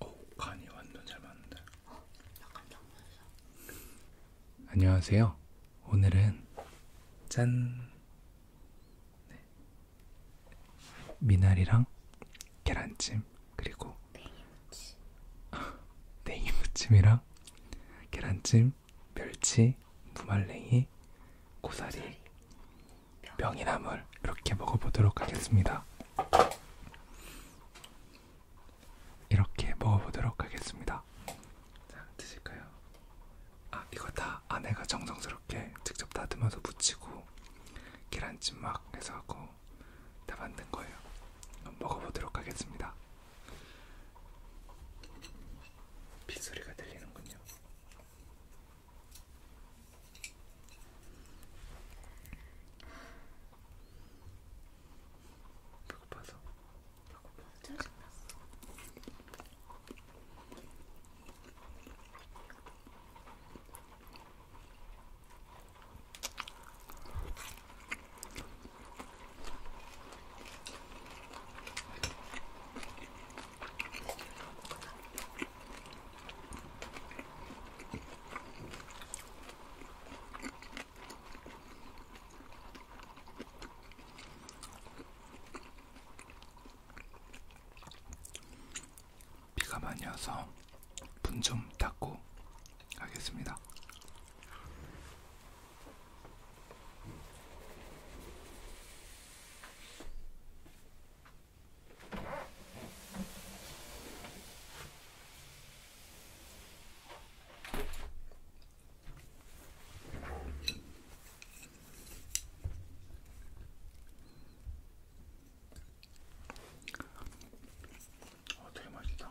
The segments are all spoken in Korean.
오, 어, 간이 완전 잘 맞는데. 어, 약간 정면에서. 안녕하세요. 오늘은 짠 네. 미나리랑 계란찜 그리고 냉이무침 냉이무침이랑 계란찜 곰, 멸치, 무말랭이, 고사리, 명이나물 이렇게 먹어보도록 하겠습니다. 이렇게 먹어보도록 하겠습니다. 자, 드실까요? 아, 이거 다 아내가 정성스럽게 직접 다듬어서 무치고 계란찜 막 해서 하고 다 만든 거예요. 먹어보도록 하겠습니다. 빗소리가 들리는군요. 배고파서. 배고파서 짜증났어. 비가 많이 와서 분좀 닦고 하겠습니다. 어, 되게 맛있다.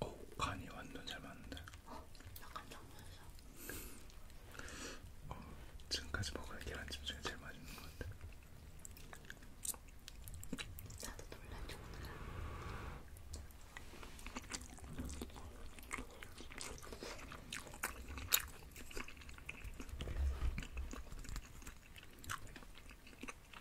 오, 간이 완전 잘 맞는데. 어, 약간 장면이죠. 어, 지금까지 먹은 계란찜 중에 제일 맛있는 것 같아. 나도 놀란 정도야.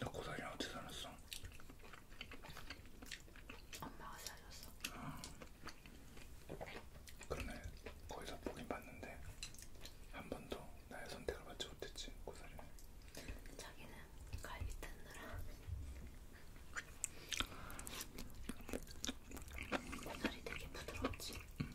나 고사리랑 어떻게 살았어? 엄마가 사줬어. 아. 그러네. 거기서 보긴 봤는데 한 번도 나의 선택을 받지 못했지 고사리는. 자기는 갈비 뜯느라. 오늘이 되게 부드럽지? 음.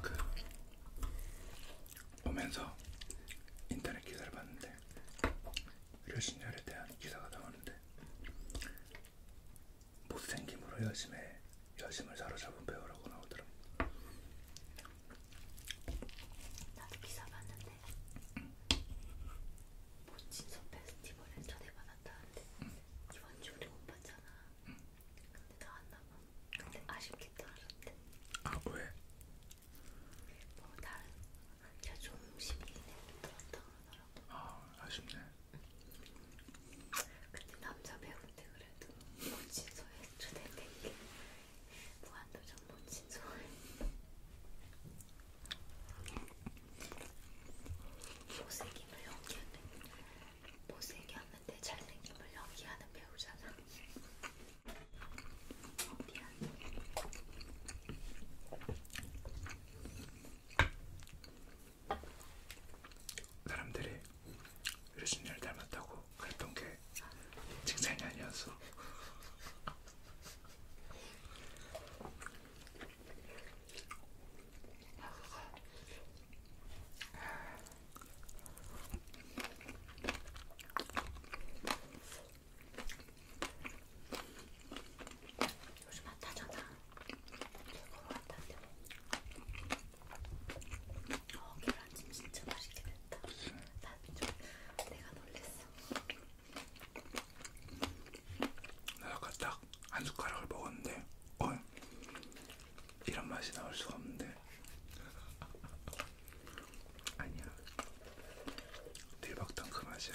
그 오면서 인터넷 기사를 봤는데 류신열에 대한 기사가 나오는데 못생김으로 여심에 여심을 사로잡은 배우라고 나오더라. 나도 기사 봤는데. 응. 모친석 뭐 페스티벌에 초대받아 만났다는데 이번 주 우리 못 봤잖아. 응. 근데 나왔나봐. 근데 어. 아쉽겠다 알았대. 아 왜? 뭐 다른 자 조심히 들었다 그러더라고. 아 아쉽네. 응. 근데 남자 배우인데 그래도 모친소에 초대된 게 무한도전 모친소에. 못생김을 연기하는 못생겼는데 잘생김을 연기하는 배우잖아. 어, 미안. 사람들이 유리준이를 닮았다고 그랬던 게 칭찬이 아니었어. 요즘 핫하잖아. 그거 같던데. 어, 계란찜 진짜 맛있게 됐다. 나 좀, 내가 놀랬어. 나 아까 딱 딱한 숟가락을 먹었는데 어, 이런 맛이 나올 수가 없는데 아니야 대박당 그 맛이야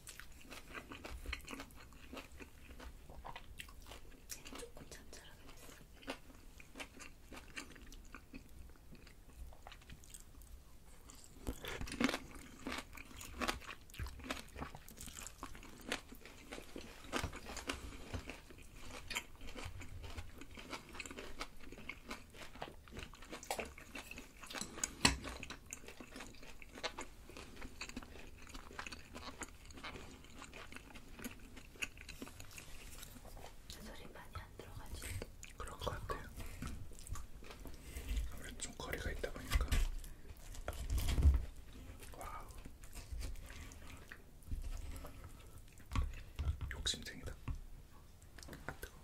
얘는 조금 잠자라긴 했어. 소리 많이 안 들어가지? 그런 것 같아요. 아무래도 좀 거리가 있다 보니까. 와우. 욕심쟁이다. 아, 뜨거워.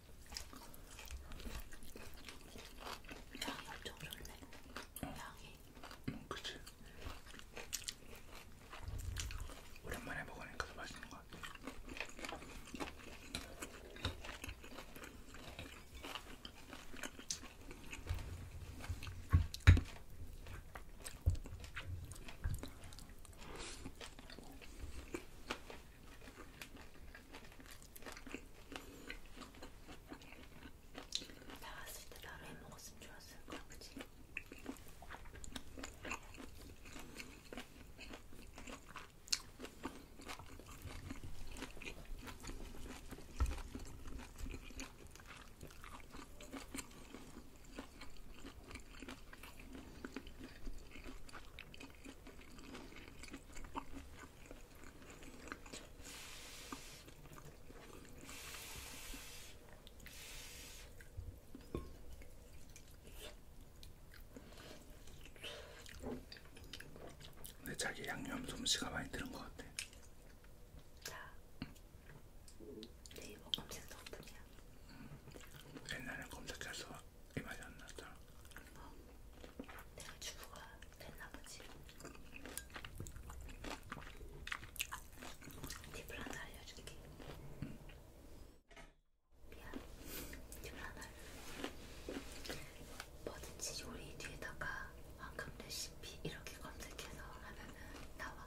향이 엄청 좋네. 향이. 음, 그치. 오랜만에 먹으니까 더 맛있는 것 같아. 나갔을 때 나를 해먹었으면 좋았을 거야, 그치? 근데 자기 양념 솜씨가 많이 드는 것 같아. 자, 네이버 검색 덕분이야. 음, 옛날엔 검색해서 이 맛이 안 났잖아. 어. 내가 주부가 됐나보지 팁을 하나 알려줄게 미안 팁을 하나 뭐든지 요리 뒤에다가 황금 레시피 이렇게 검색해서 하면은 나와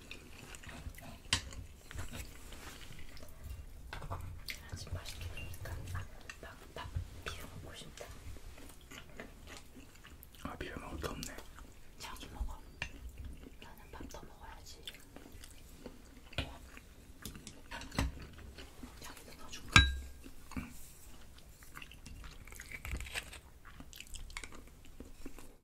아주 맛있게 되니까 아, 막밥 비벼 먹고 싶다. 아 비벼 먹을 게 없네. 자기 먹어. 나는 밥 더 먹어야지. 자기도 넣어줄까? 응.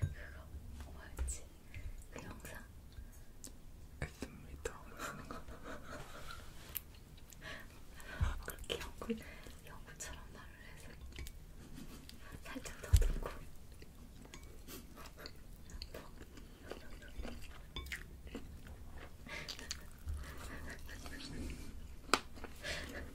그거 뭐였지? 그 영상? 에스미터 하는 거. 그렇게 연구, 연구처럼 말을 해서 살짝 더듬고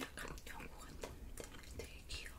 약간 연고 같은데 되게 귀여워.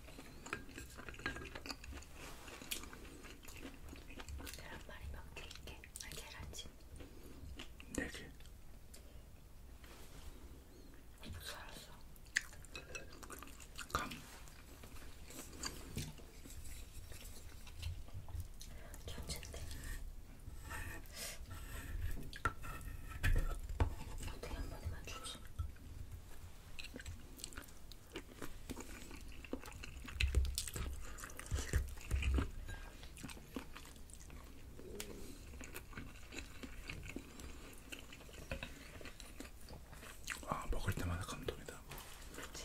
계란말이 몇개 있게? 아 계란찜 네개 살았어 감 견제인데 어떻게 한 번에 맞추지? 아 먹을 때마다 감동이다. 그치?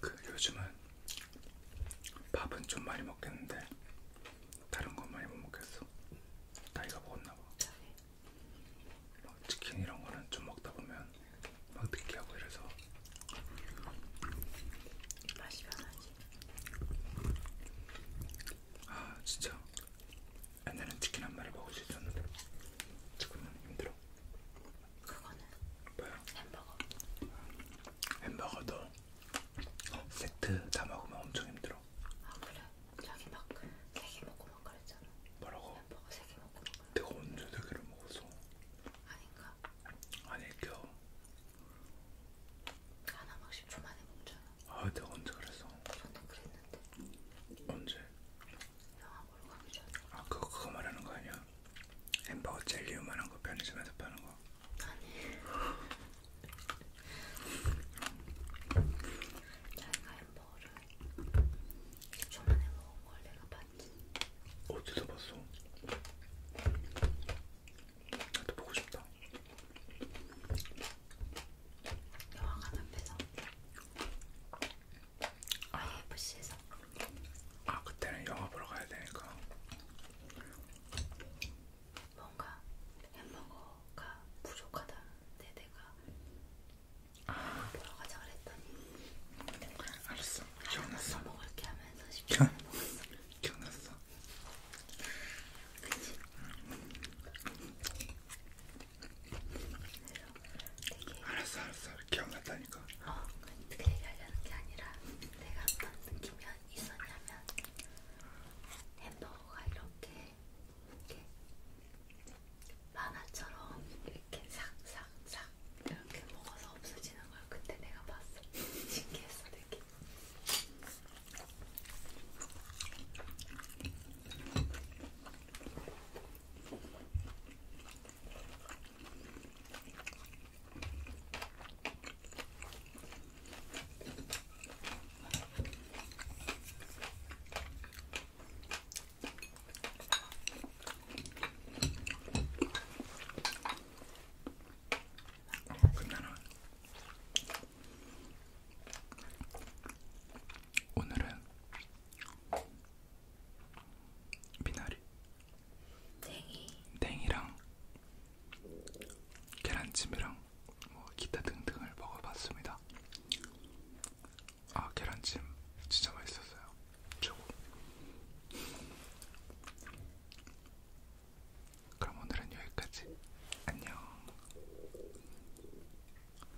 그 요즘은 밥은 좀 많이 먹겠는데 다른 건 많이 못 먹겠어. 나이가 먹었나 봐. 막 치킨 이런 거는 좀 먹다 보면 막 느끼하고 이래서 맛이 변하지. 아 진짜 옛날엔 치킨 한 마리 먹을 수 있었는데 지금은 힘들어. 그거는 뭐야? 햄버거. 햄버거도 어, 세트 다 먹으면 엄청 힘들어. 아 그래? 자기 막세개 그 먹고 막 그랬잖아. 뭐라고? 햄버거 세 개 먹고 막 그랬잖아. 내가 언제 세 개를 먹었어? 아닌가? 아닐게요. 하나 막 10초 만에 먹잖아. 아 내가 언제 그랬어? 저도 그랬는데. 언제? 영화 보러 가기 전에. 아 그거 그거 말하는 거 아니야? 햄버거 젤리 요만한 거 편의점에서 파는 거. 아니. 자기가 햄버거를 10초 만에 먹은 걸 내가 봤지. 어디서 봤어? 나도 보고 싶다. 영화관 앞에서 IFC에서 아, 아 그때는 영화 보러 가야 되니까 뭔가 햄버거가 부족하다는데 내가 아. 보러 가자 그랬더니 알았어 아, 기억났어 먹을게 하면서 시켜 먹었어 기억났어 그치? 음. 되게 알았어 알았어 기억났다니까 어 그렇게 얘기하려는 게 아니라 내가 어떤 느낌이 있었냐면 햄버거가 이렇게 이렇게 만화처럼 이렇게 싹싹싹 이렇게 먹어서 없어지는 걸 그때 내가 봤어 신기했어 되게 그러면 오늘은 미나리 땡이 땡이랑 계란찜이랑 뭐 기타 등등을 먹어봤습니다. 아 계란찜 진짜 맛있었어요. 최고. 그럼 오늘은 여기까지. 안녕.